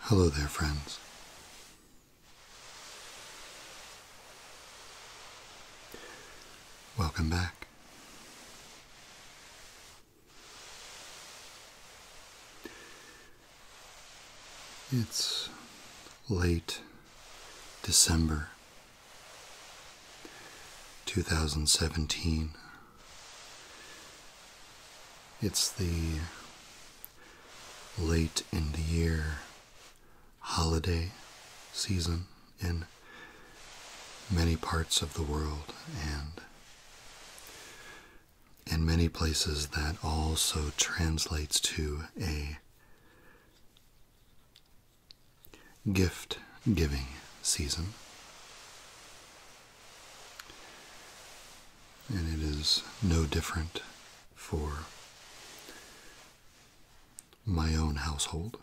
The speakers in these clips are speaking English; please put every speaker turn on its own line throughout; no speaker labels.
Hello there, friends. Welcome back. It's late December 2017, it's the late in the year holiday season in many parts of the world and in many places that also translates to a gift giving season. And it is no different for my own household.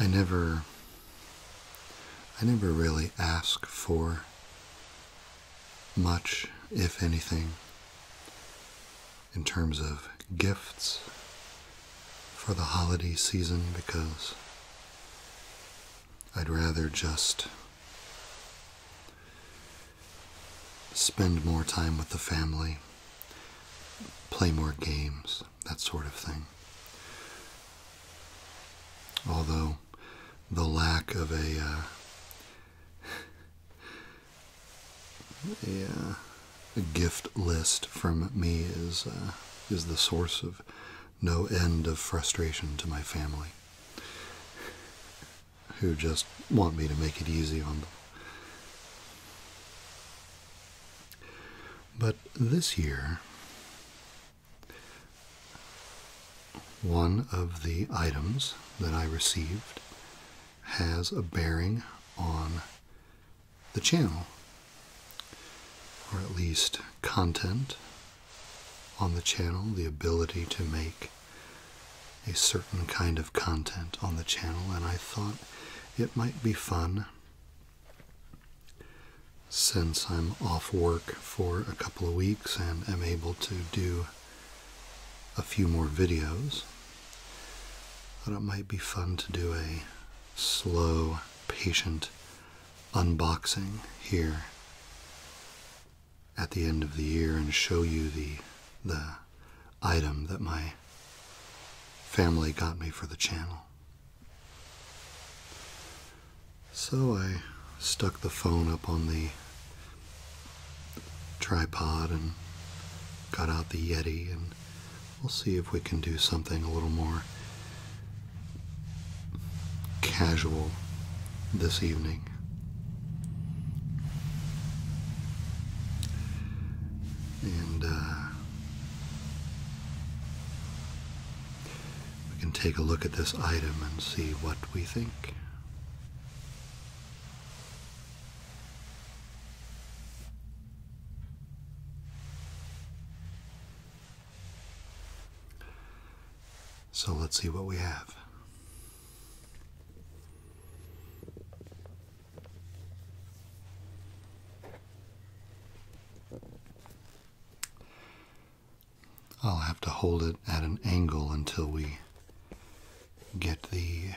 I never I never really ask for much, if anything, in terms of gifts for the holiday season because I'd rather just spend more time with the family, play more games, that sort of thing. Although the lack of a uh, a, gift list from me is uh, is the source of no end of frustration to my family, who just want me to make it easy on them. But this year, one of the items that I received has a bearing on the channel, or at least content on the channel, the ability to make a certain kind of content on the channel, and I thought it might be fun since I'm off work for a couple of weeks and am able to do a few more videos Thought it might be fun to do a slow, patient unboxing here at the end of the year and show you the the item that my family got me for the channel. So I stuck the phone up on the tripod and got out the Yeti and we'll see if we can do something a little more casual this evening. And uh, we can take a look at this item and see what we think. So let's see what we have. I'll have to hold it at an angle until we get the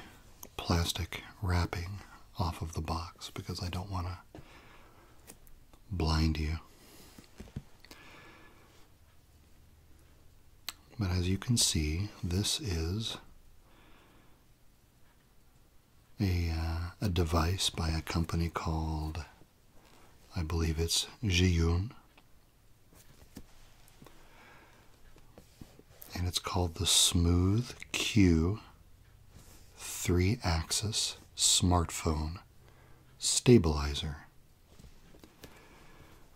plastic wrapping off of the box because I don't want to blind you. But as you can see, this is a, uh, a device by a company called, I believe it's Ji Zhiyun and it's called the Smooth Q 3 axis smartphone stabilizer.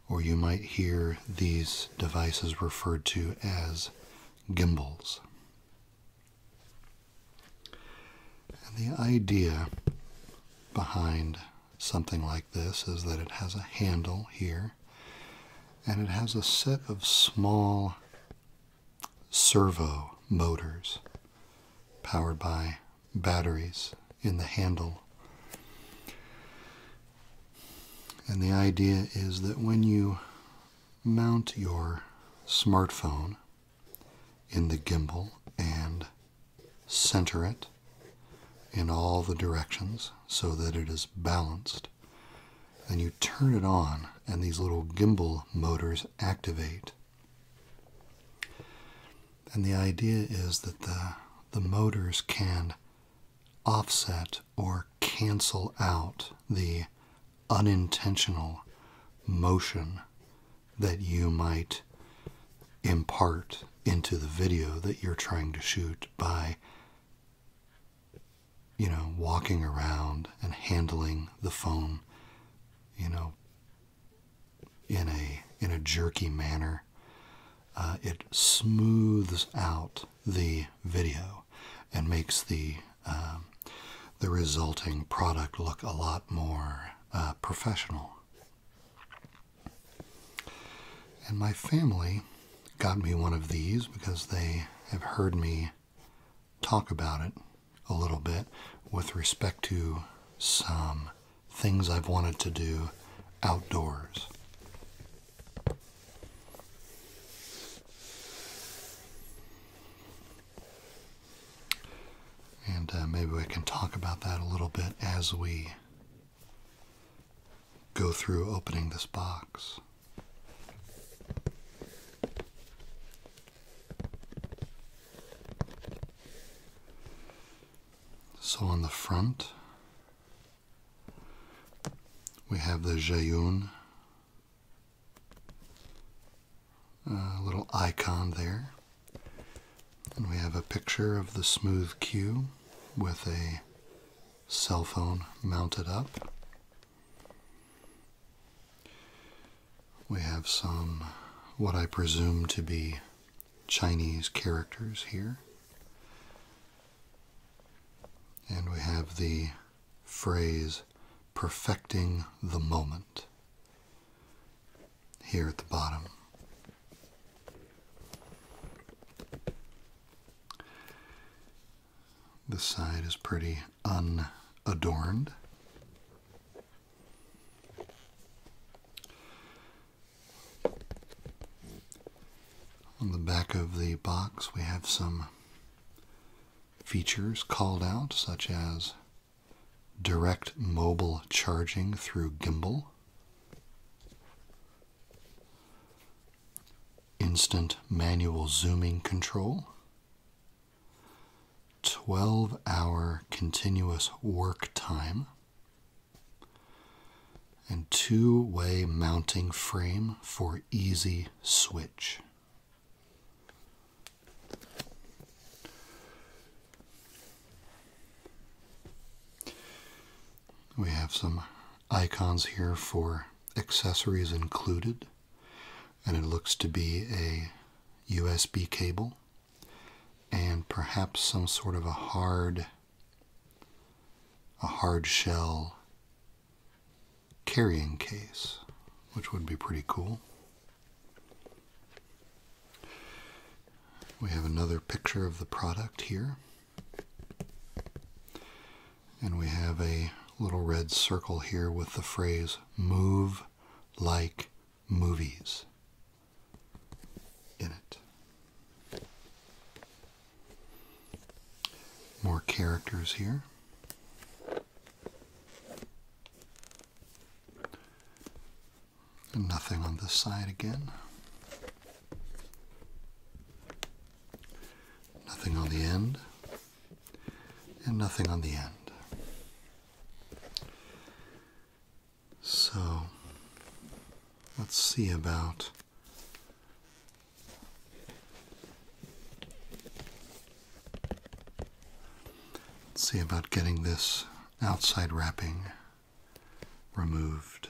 Or you might hear these devices referred to as gimbals. And the idea behind something like this is that it has a handle here and it has a set of small servo motors powered by batteries in the handle. And the idea is that when you mount your smartphone in the gimbal and center it in all the directions so that it is balanced, and you turn it on, and these little gimbal motors activate. And the idea is that the, the motors can offset or cancel out the unintentional motion that you might impart into the video that you're trying to shoot by you know, walking around and handling the phone, you know, in a in a jerky manner. Uh, it smooths out the video and makes the um, the resulting product look a lot more uh, professional. And my family got me one of these because they have heard me talk about it a little bit with respect to some things I've wanted to do outdoors. And uh, maybe we can talk about that a little bit as we go through opening this box. So on the front, we have the Jayun uh, little icon there. And we have a picture of the smooth Q with a cell phone mounted up. We have some what I presume to be Chinese characters here. And we have the phrase perfecting the moment here at the bottom. This side is pretty unadorned. On the back of the box, we have some features called out, such as direct mobile charging through gimbal, instant manual zooming control, 12 hour continuous work time, and two way mounting frame for easy switch. We have some icons here for accessories included and it looks to be a USB cable and perhaps some sort of a hard a hard shell carrying case, which would be pretty cool. We have another picture of the product here. And we have a little red circle here with the phrase move like movies in it. More characters here. And nothing on this side again. Nothing on the end and nothing on the end. So let's see about let's see about getting this outside wrapping removed.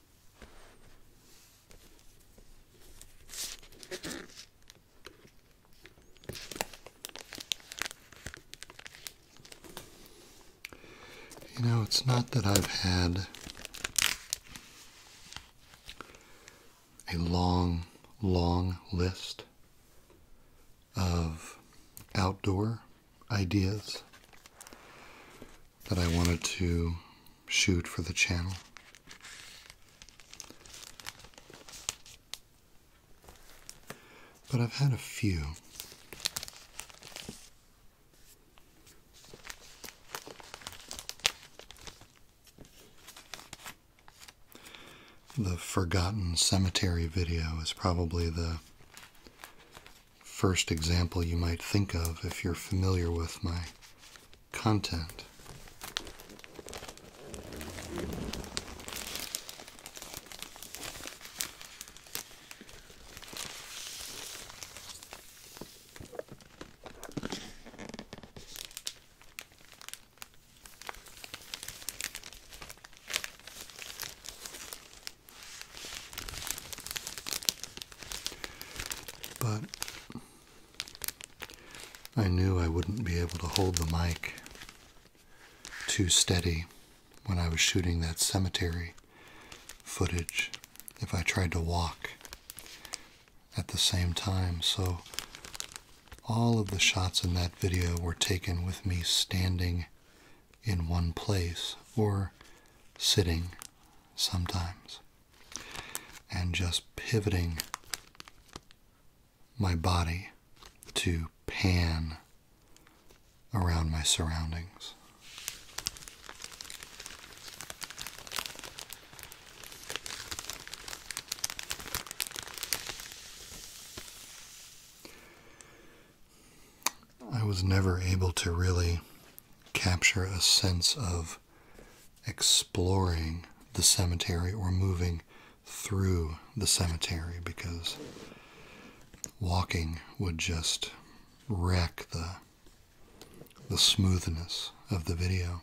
You know, it's not that I've had a long, long list of outdoor ideas that I wanted to shoot for the channel. But I've had a few. The Forgotten Cemetery video is probably the first example you might think of if you're familiar with my content. But I knew I wouldn't be able to hold the mic too steady when I was shooting that cemetery footage if I tried to walk at the same time. So all of the shots in that video were taken with me standing in one place or sitting sometimes and just pivoting my body to pan around my surroundings. I was never able to really capture a sense of exploring the cemetery or moving through the cemetery because walking would just wreck the the smoothness of the video.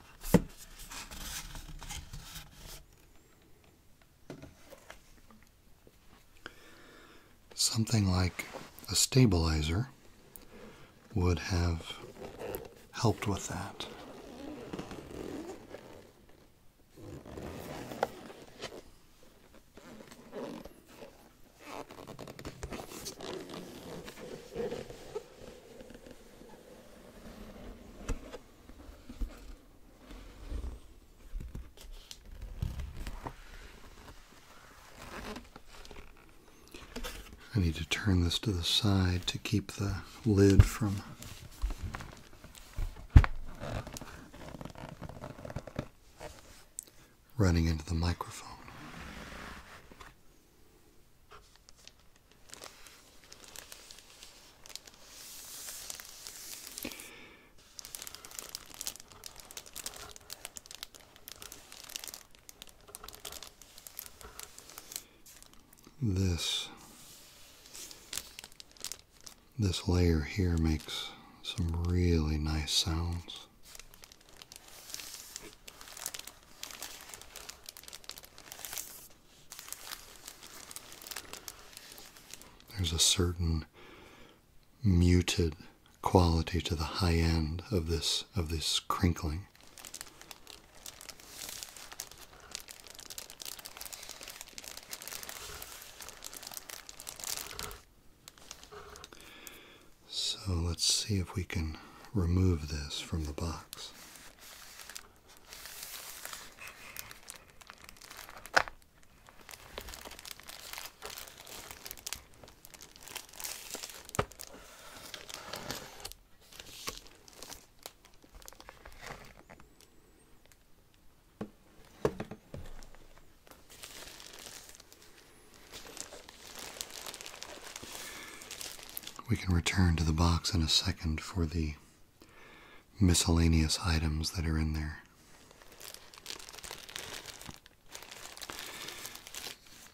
Something like a stabilizer would have helped with that. I need to turn this to the side to keep the lid from running into the microphone. This this layer here makes some really nice sounds. There's a certain muted quality to the high end of this of this crinkling. So let's see if we can remove this from the box. We can return to the box in a second for the miscellaneous items that are in there.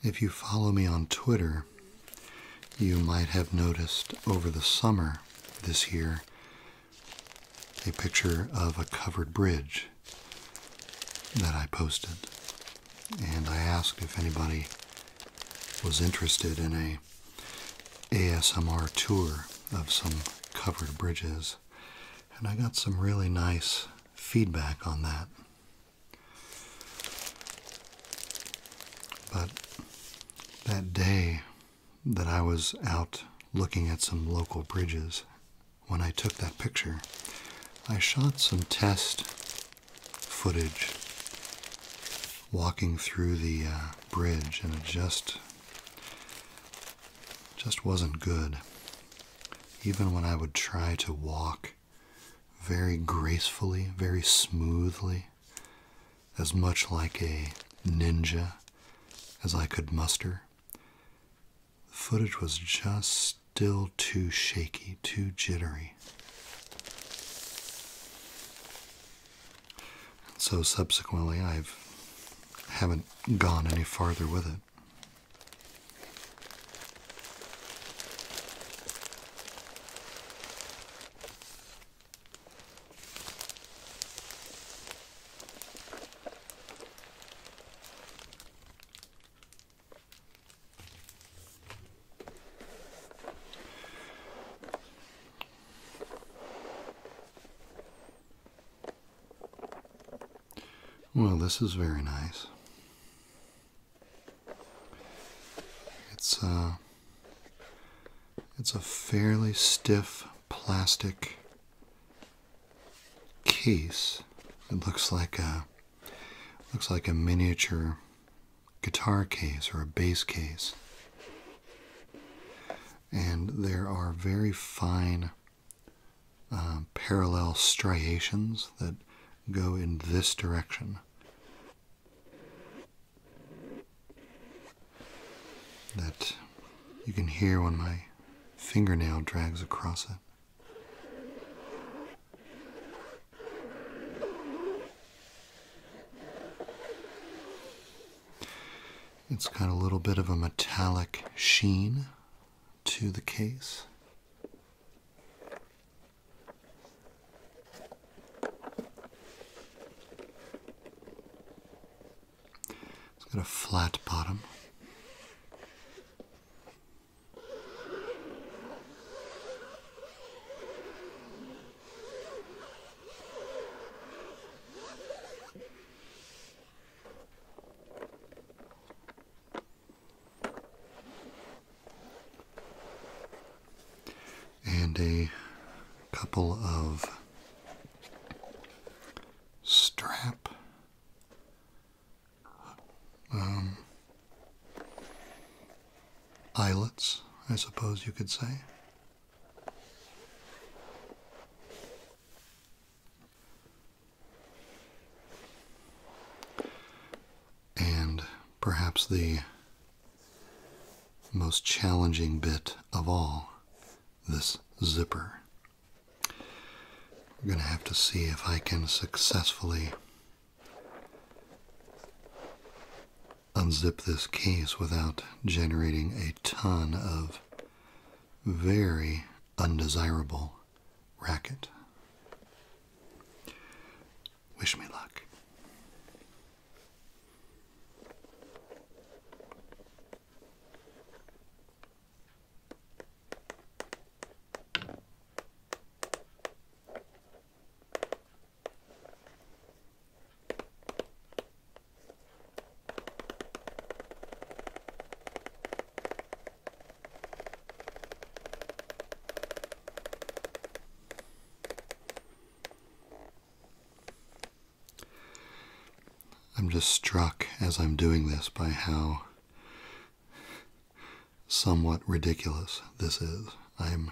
If you follow me on Twitter, you might have noticed over the summer this year a picture of a covered bridge that I posted. And I asked if anybody was interested in a ASMR tour of some covered bridges, and I got some really nice feedback on that. But that day that I was out looking at some local bridges, when I took that picture, I shot some test footage walking through the uh, bridge, and it just just wasn't good. Even when I would try to walk very gracefully, very smoothly, as much like a ninja as I could muster, the footage was just still too shaky, too jittery. So subsequently, I've haven't gone any farther with it. Well, this is very nice. It's uh it's a fairly stiff plastic case. It looks like a looks like a miniature guitar case or a bass case and there are very fine uh, parallel striations that go in this direction. That you can hear when my fingernail drags across it. It's got a little bit of a metallic sheen to the case. It's got a flat bottom and a couple of strap um, eyelets, I suppose you could say. And perhaps the most challenging bit of all this zipper. I'm going to have to see if I can successfully unzip this case without generating a ton of very undesirable racket. Wish me luck. I'm just struck as I'm doing this by how somewhat ridiculous this is. I'm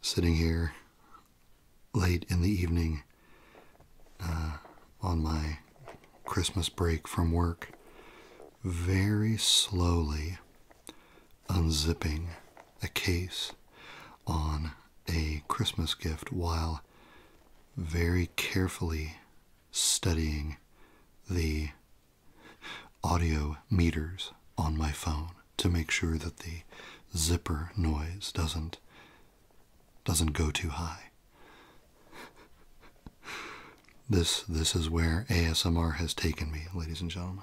sitting here late in the evening uh, on my Christmas break from work, very slowly unzipping a case on a Christmas gift while very carefully studying the audio meters on my phone to make sure that the zipper noise doesn't doesn't go too high. this this is where ASMR has taken me, ladies and gentlemen.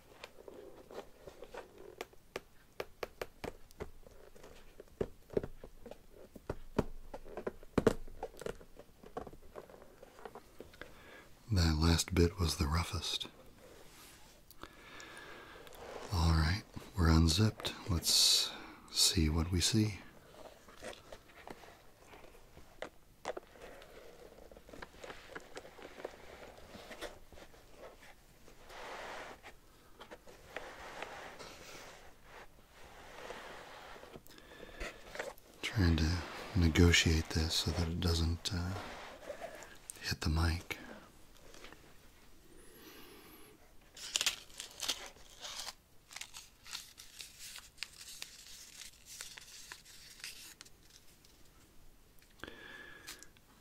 That last bit was the roughest. All right, we're unzipped. Let's see what we see. Trying to negotiate this so that it doesn't uh, hit the mic.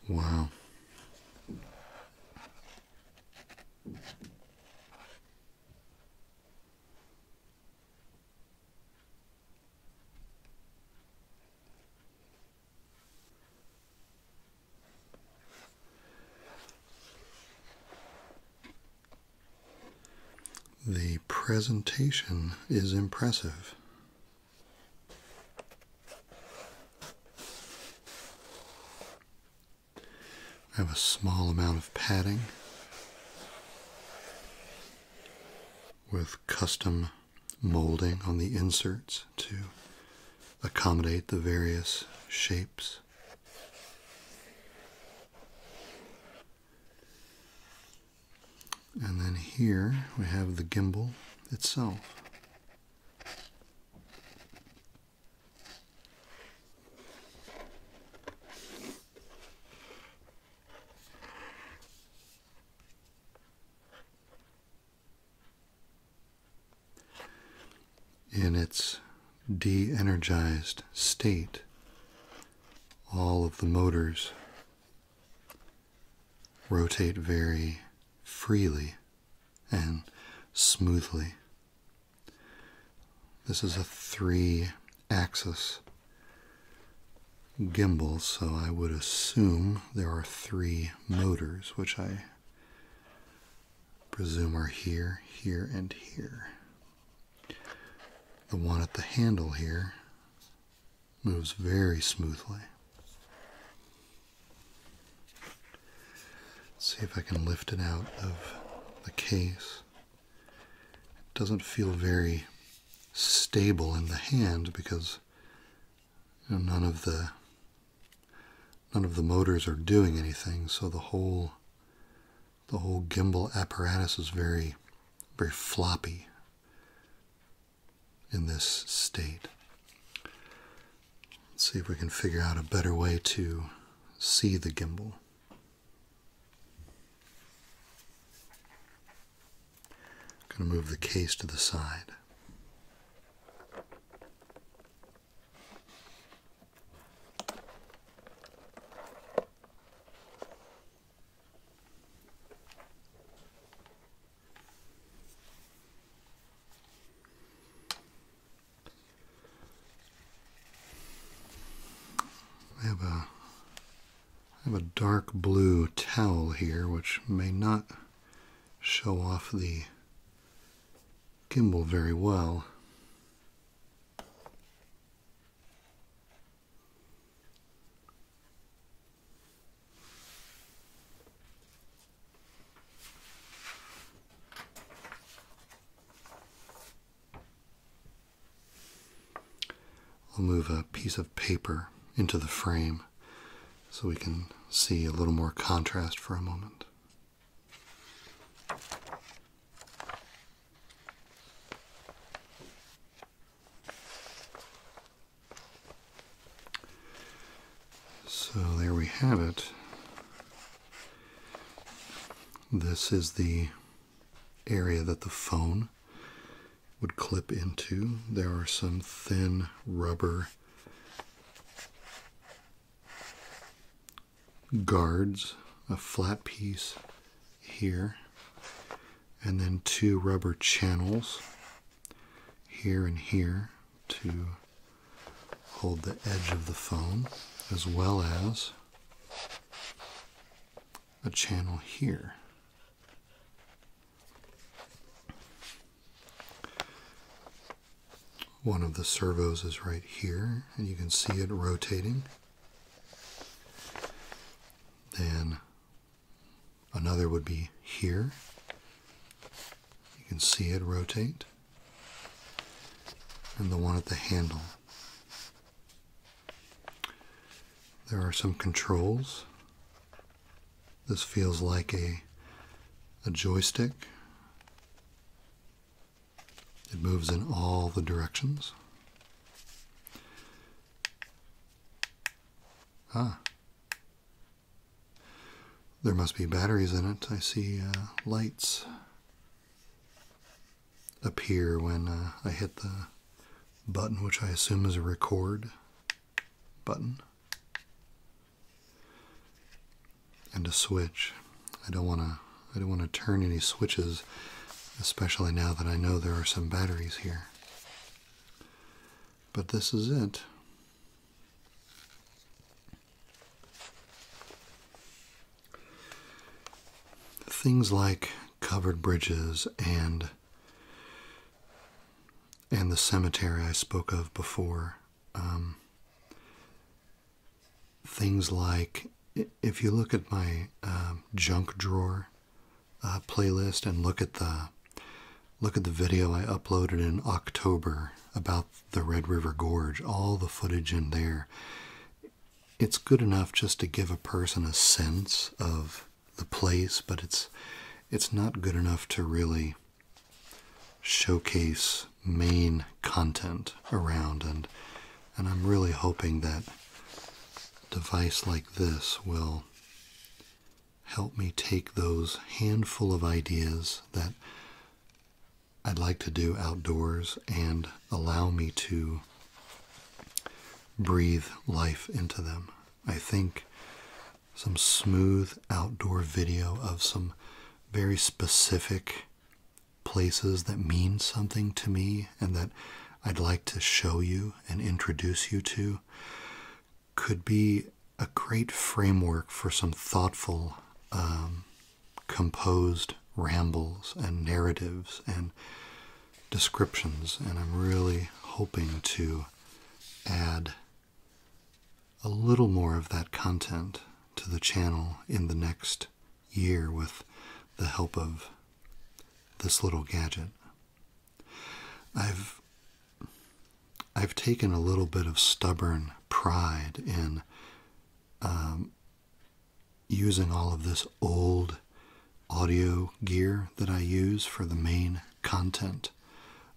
Wow. The presentation is impressive. I have a small amount of padding with custom molding on the inserts to accommodate the various shapes. And then here we have the gimbal itself. In its de energized state, all of the motors rotate very freely and smoothly. This is a three axis gimbal, so I would assume there are three motors, which I presume are here, here, and here. The one at the handle here moves very smoothly. see if I can lift it out of the case. It doesn't feel very stable in the hand because none of the none of the motors are doing anything, so the whole the whole gimbal apparatus is very very floppy in this state. Let's see if we can figure out a better way to see the gimbal. I'm going to move the case to the side. I have a I have a dark blue towel here, which may not show off the gimbal very well. I'll move a piece of paper into the frame so we can see a little more contrast for a moment. So there we have it. This is the area that the phone would clip into. There are some thin rubber guards, a flat piece here, and then two rubber channels here and here to hold the edge of the foam, as well as a channel here. One of the servos is right here, and you can see it rotating. Then Another would be here. You can see it rotate. And the one at the handle. There are some controls. This feels like a, a joystick. It moves in all the directions. Ah, there must be batteries in it. I see uh, lights appear when uh, I hit the button, which I assume is a record button, and a switch. I don't want to. I don't want to turn any switches, especially now that I know there are some batteries here. But this is it. Things like covered bridges and and the cemetery I spoke of before. Um, things like if you look at my uh, junk drawer uh, playlist and look at the Look at the video I uploaded in October about the Red River Gorge, all the footage in there. It's good enough just to give a person a sense of the place, but it's it's not good enough to really showcase main content around and and I'm really hoping that device like this will help me take those handful of ideas that I'd like to do outdoors and allow me to breathe life into them. I think some smooth outdoor video of some very specific places that mean something to me and that I'd like to show you and introduce you to could be a great framework for some thoughtful, um, composed rambles and narratives and descriptions. And I'm really hoping to add a little more of that content to the channel in the next year with the help of this little gadget. I've I've taken a little bit of stubborn pride in um, using all of this old audio gear that I use for the main content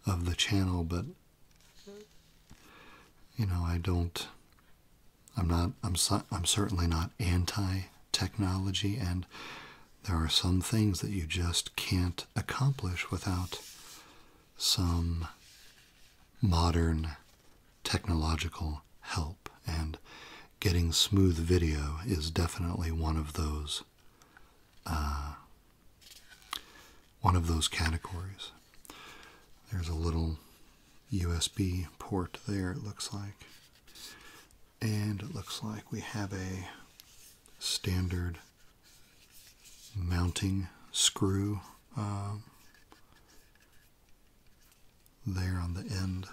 of the channel, but you know, I don't. I'm not. I'm. I'm certainly not anti-technology, and there are some things that you just can't accomplish without some modern technological help, and getting smooth video is definitely one of those uh, one of those categories. There's a little USB port there, it looks like. And it looks like we have a standard mounting screw um, there on the end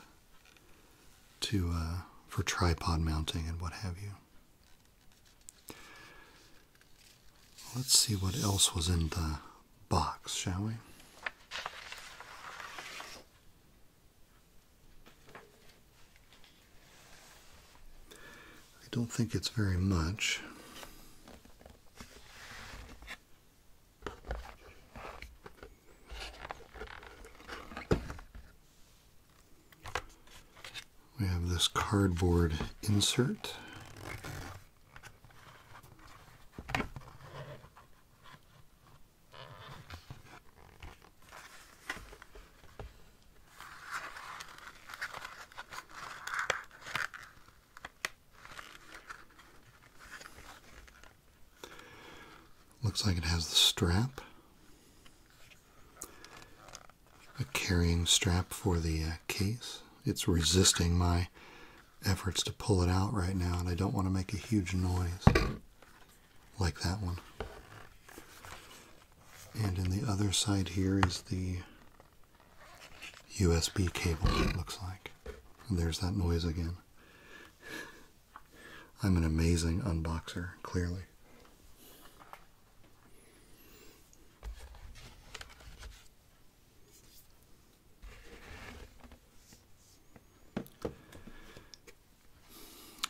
to uh, for tripod mounting and what have you. Let's see what else was in the box, shall we? I don't think it's very much. We have this cardboard insert. Looks like it has the strap, a carrying strap for the uh, case. It's resisting my efforts to pull it out right now, and I don't want to make a huge noise like that one. And in the other side here is the USB cable, it looks like. there's that noise again. I'm an amazing unboxer, clearly.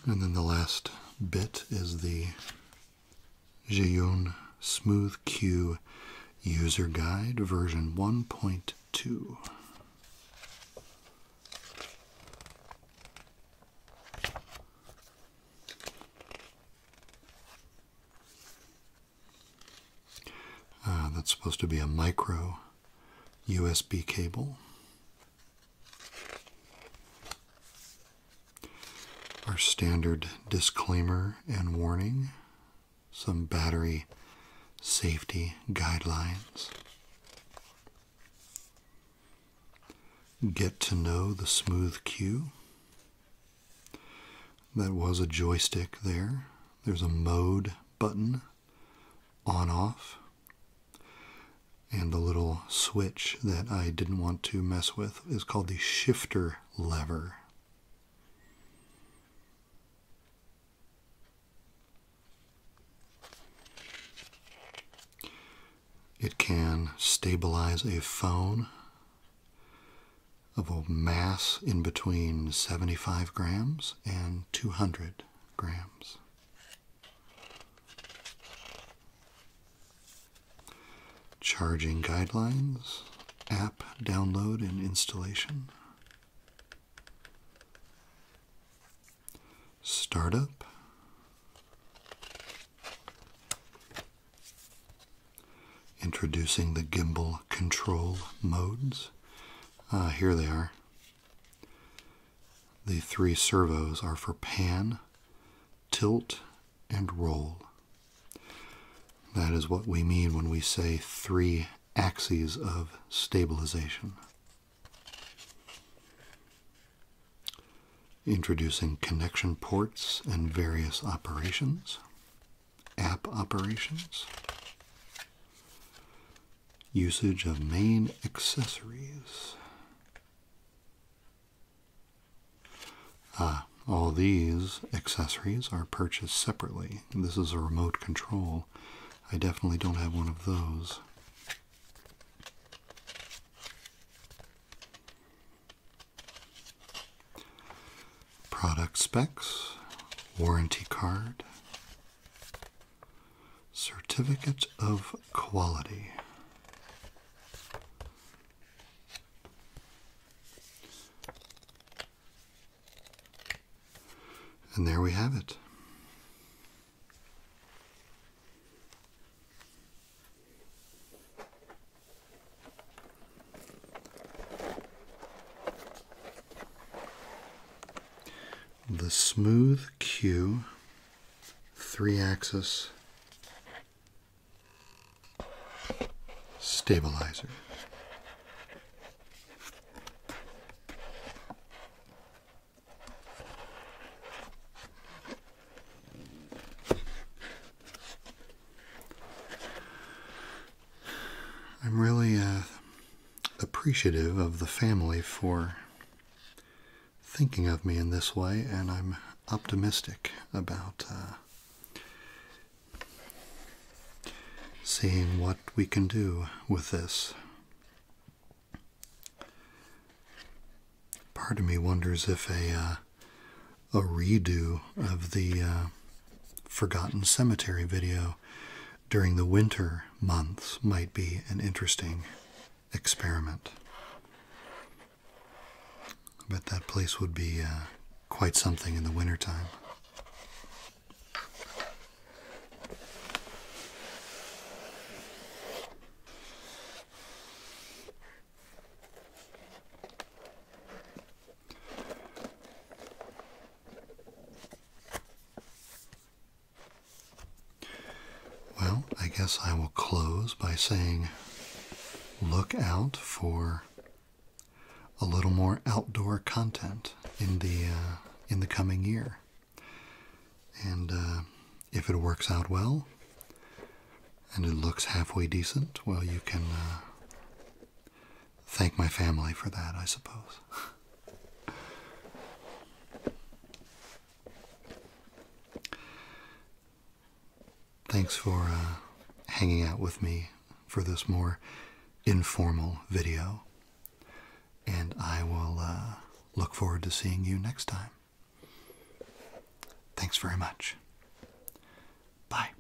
And then the last bit is the Jeon Smooth Q User Guide version 1.2. Uh, that's supposed to be a micro USB cable. Our standard disclaimer and warning, some battery safety guidelines. Get to know the smooth Q. That was a joystick there. There's a mode button on off and the little switch that I didn't want to mess with is called the shifter lever. It can stabilize a phone of a mass in between 75 grams and 200 grams. Charging guidelines, app download and installation, startup, introducing the gimbal control modes. Uh, here they are. The three servos are for pan, tilt, and roll. That is what we mean when we say three axes of stabilization. Introducing connection ports and various operations, app operations, usage of main accessories, uh, all these accessories are purchased separately. This is a remote control. I definitely don't have one of those. Product specs, warranty card, certificate of quality. And there we have it. The Smooth Q three axis Stabilizer. I'm really uh, appreciative of the family for thinking of me in this way, and I'm optimistic about uh, seeing what we can do with this. Part of me wonders if a uh, a redo of the uh, Forgotten Cemetery video during the winter months might be an interesting experiment. I bet that place would be uh, quite something in the wintertime. Well, I guess I will close by saying look out for a little more outdoor content in the uh, in the coming year. And uh, if it works out well, and it looks halfway decent, well, you can uh, thank my family for that, I suppose. Thanks for uh, hanging out with me for this more informal video. And I will uh, look forward to seeing you next time. Thanks very much. Bye.